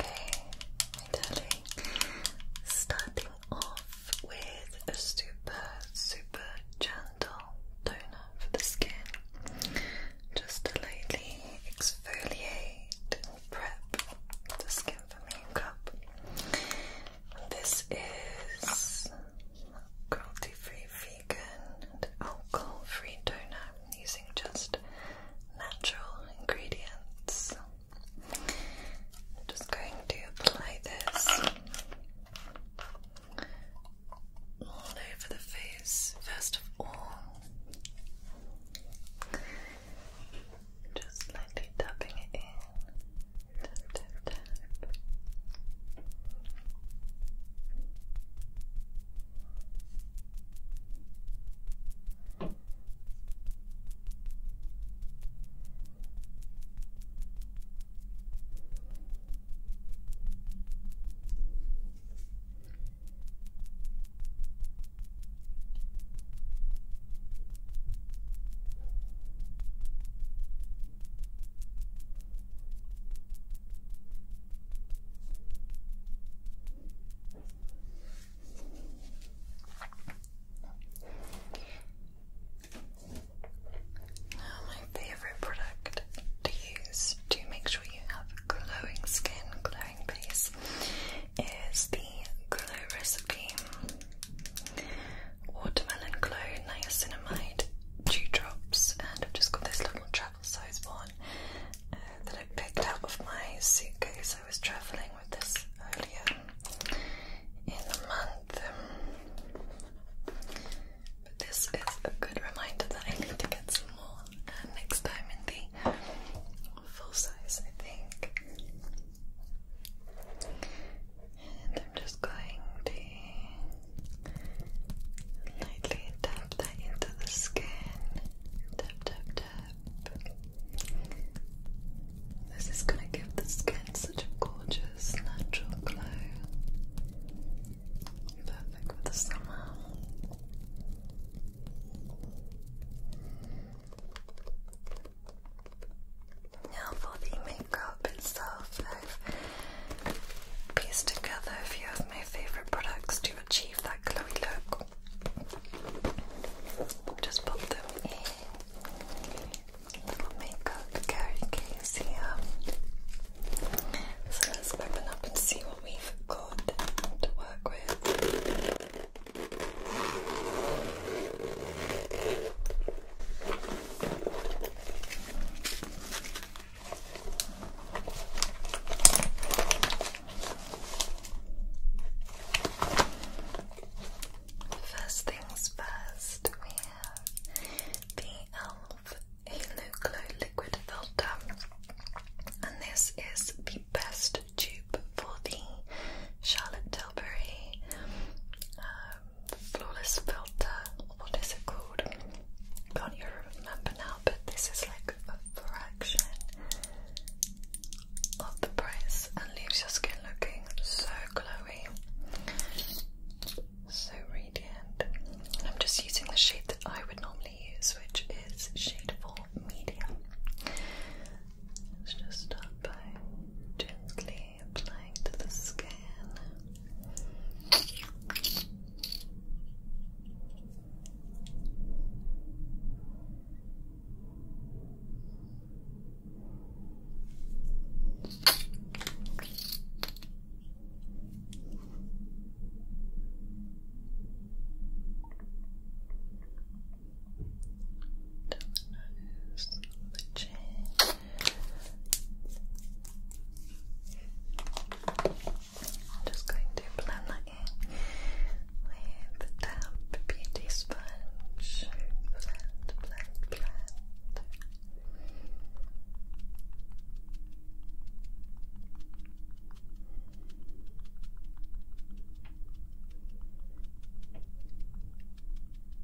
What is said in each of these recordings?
Okay, my darling, starting off with a super, super gentle toner for the skin. Just to lightly exfoliate and prep the skin for makeup. This is cruelty free vegan and alcohol-free toner using just natural ingredients. just going to apply this all over the face first of all. Just lightly tapping it in tap. Okay. Now, my favorite product to use to make sure you have glowing skin, glowing face, is the Glow Recipe watermelon clone, niacinamide Drops, and I've just got this little travel size one uh, that I picked out of my suitcase. I was traveling with this earlier in the month. But this is a good reminder that I need to get some more uh, next time in the full size, I think. And I'm just going to lightly tap that into the skin. Tap, tap, tap. This is going to give the skin such a gorgeous, natural glow. Perfect for the summer. Now for the makeup makeup and stuff. I've pieced together a few of my favorite products to achieve that glowy look. Just pop them in little makeup carry case here. So let's open up and see what we've got to work with. First things first, we have the e.l.f. Halo Glow Liquid Filter, and this is the best tube for the Charlotte Tilbury uh, flawless filter. What is it called? Can't even remember now. But this is like a fraction of the price and leaves your skin looking so glowy, so radiant. And I'm just using the shade that I would normally use, which is shade four medium. Let's just start by gently applying to the skin. Down the nose, the chin. I'm just going to blend that in with the damp beauty sponge. Blend, blend, blend.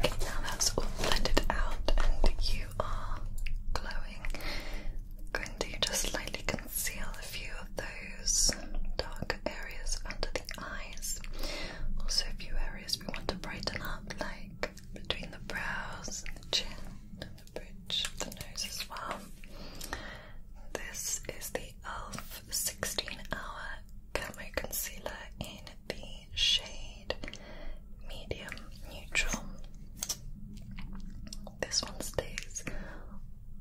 Okay, now that's all blended out, and you are glowing. going to just slightly conceal a few of those darker areas under the eyes. Also, a few areas we want to brighten up, like between the brows and the chin the nose as well. This is the e.l.f. 16 Hour Camo Concealer in the shade Medium Neutral. This one stays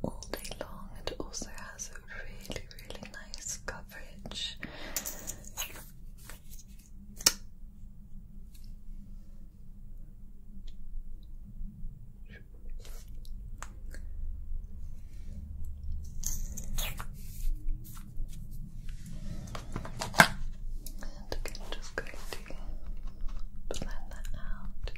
all day long and also has a really, really nice coverage. And again, just going to blend that out.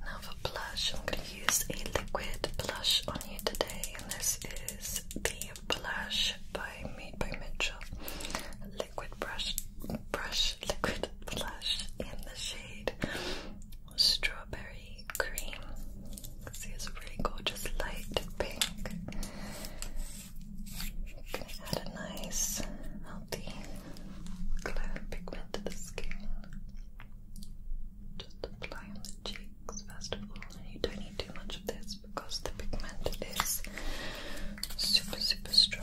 Now for blush, I'm going to use a liquid blush on you today, and this is the Blush by Made by Mitchell Liquid Brush Brush Liquid Blush in the shade Strawberry Cream. See, it's a really gorgeous light pink. add a nice, healthy clear pigment to the skin. Just apply on the cheeks first of all, you don't need too much of this because the pigment is super, super strong.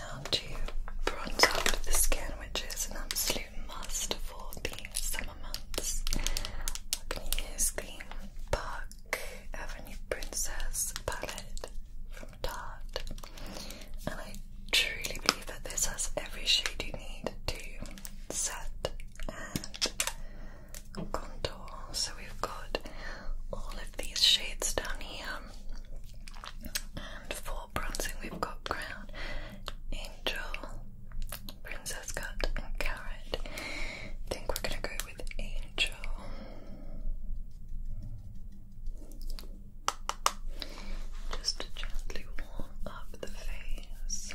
Now to bronze up the skin, which is an absolute must for the summer months. I can use the Park Avenue Princess palette from Tarte, and I truly believe that this has every shade you need to set and contour. So we've got all of these shades down here. And for bronzing, we've got Crown, Angel, Princess Cut, and Carrot. think we're gonna go with Angel. Just to gently warm up the face.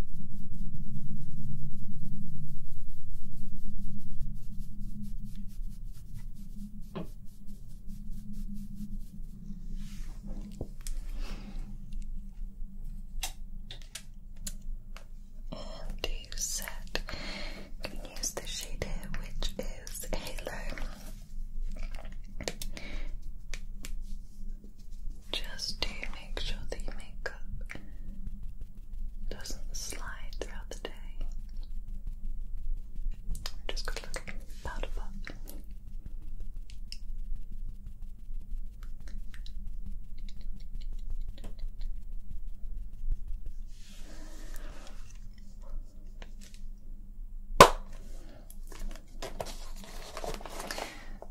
And you you can use the shade here, which is Halo. Just to make sure that you make up doesn't slide throughout the day. just gonna look at the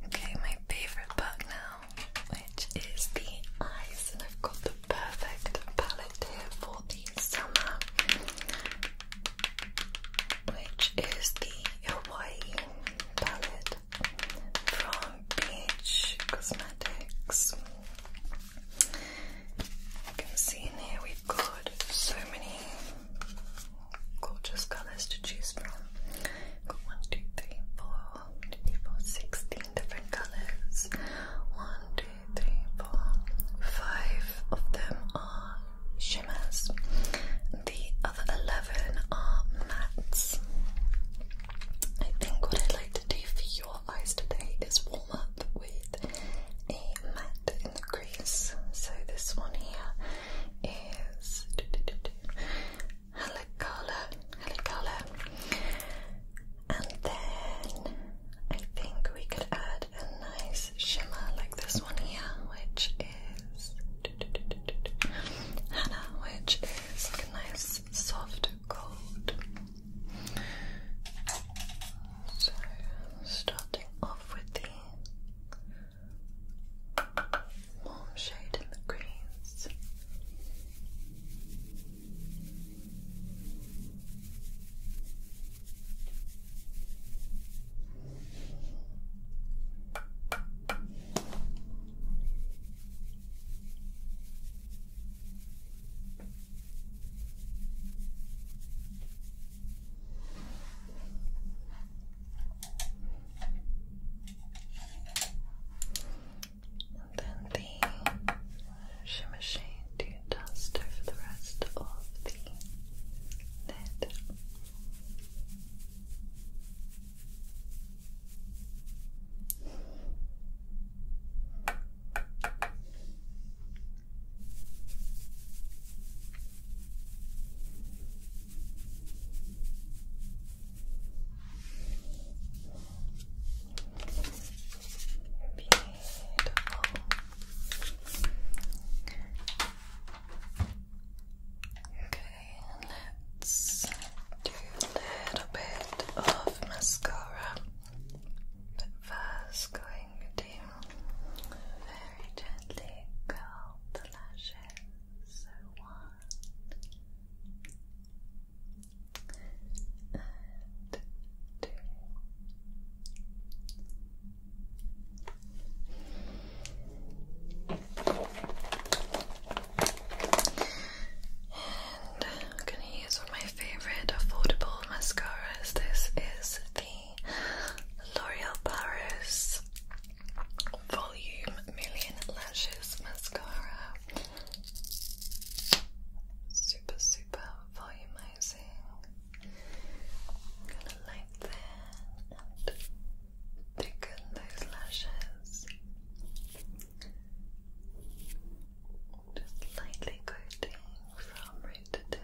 Okay, my favorite bug now which is the eyes, and I've got the perfect palette here for the summer, which is the Hawaiian palette from Beach Cosmetics. You can see in here we've got so many gorgeous colours to choose from. Got 1, different colors. One, two, three, four, five of them are shimmers. The other 11 are mattes. I think what I'd like to do for your eyes today is warm up with a matte in the crease. So this one here is color, Helicola, color, And then I think we could add a nice shimmer like this one here, which is Hannah, which is like a nice soft gold. So starting off with the warm shade in the greens. And then the shimmer shade to dust over the rest of the lid. Okay, let's do a little bit of mascara. But first, going to very gently curl the lashes. So I'm going to use one of my favorite affordable mascaras. This is the L'Oreal Paris Volume Million Lashes Mascara super, super volumizing. Gonna lengthen and thicken those lashes. Just lightly coating from root to tip.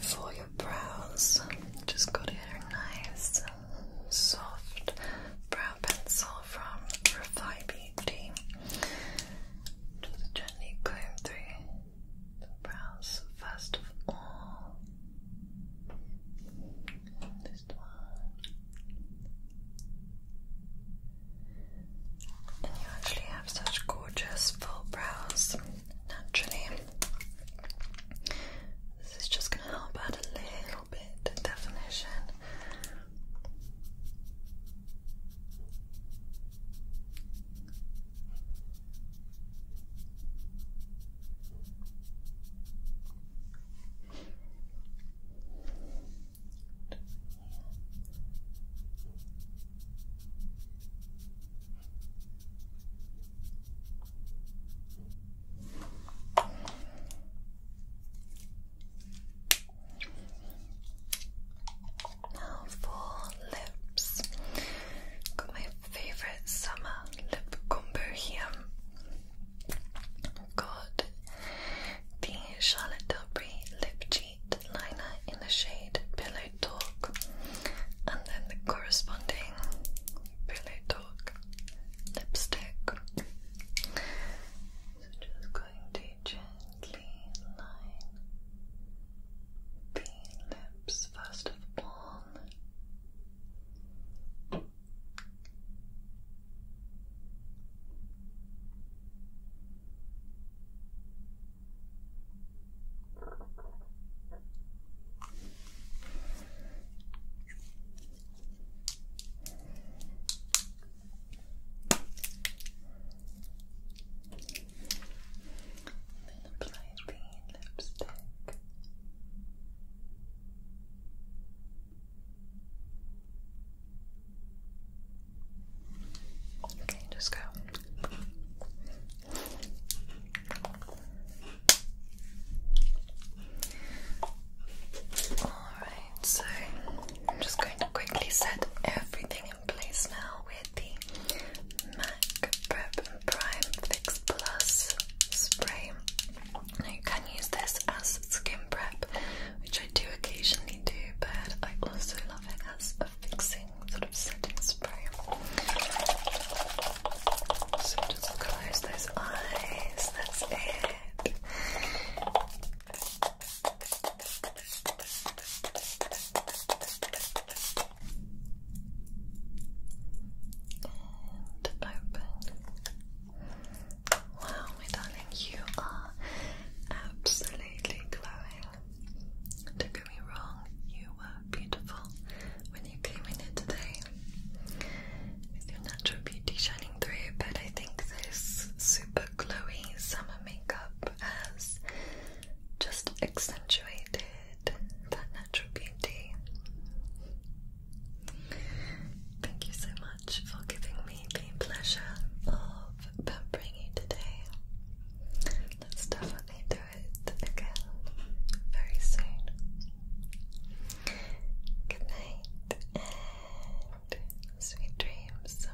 For your brows, just go to your nice, soft brow pencil from Refi Beauty. Just gently comb through the brows first of all. this one. And you actually have such gorgeous full brows naturally. This is just going to help add a little bit of definition. Now for lips. Got my favorite summer lip combo Got the Charlotte Tilbury lip gel liner in the shade Pillow Talk, and then the corresponding Pillow Talk lipstick. So just going to gently line the lips first of all then apply the lipstick. Okay, just go. Alright, so I'm just going to quickly set everything in place now with the MAC Prep Prime Fix Plus spray. Now you can use this as skin prep which I do occasionally do, but I also love it as a fixing sort of setting spray. So just close those eyes, that's it. And open. Wow, darling, you are absolutely glowing. Don't get me wrong, you were beautiful when you came in here today your natural beauty shining through, but I think this super glowy summer makeup has just accentuated that natural beauty. Thank you so much for giving me the pleasure of been bringing today. Let's definitely do it again very soon. Good night and sweet dreams.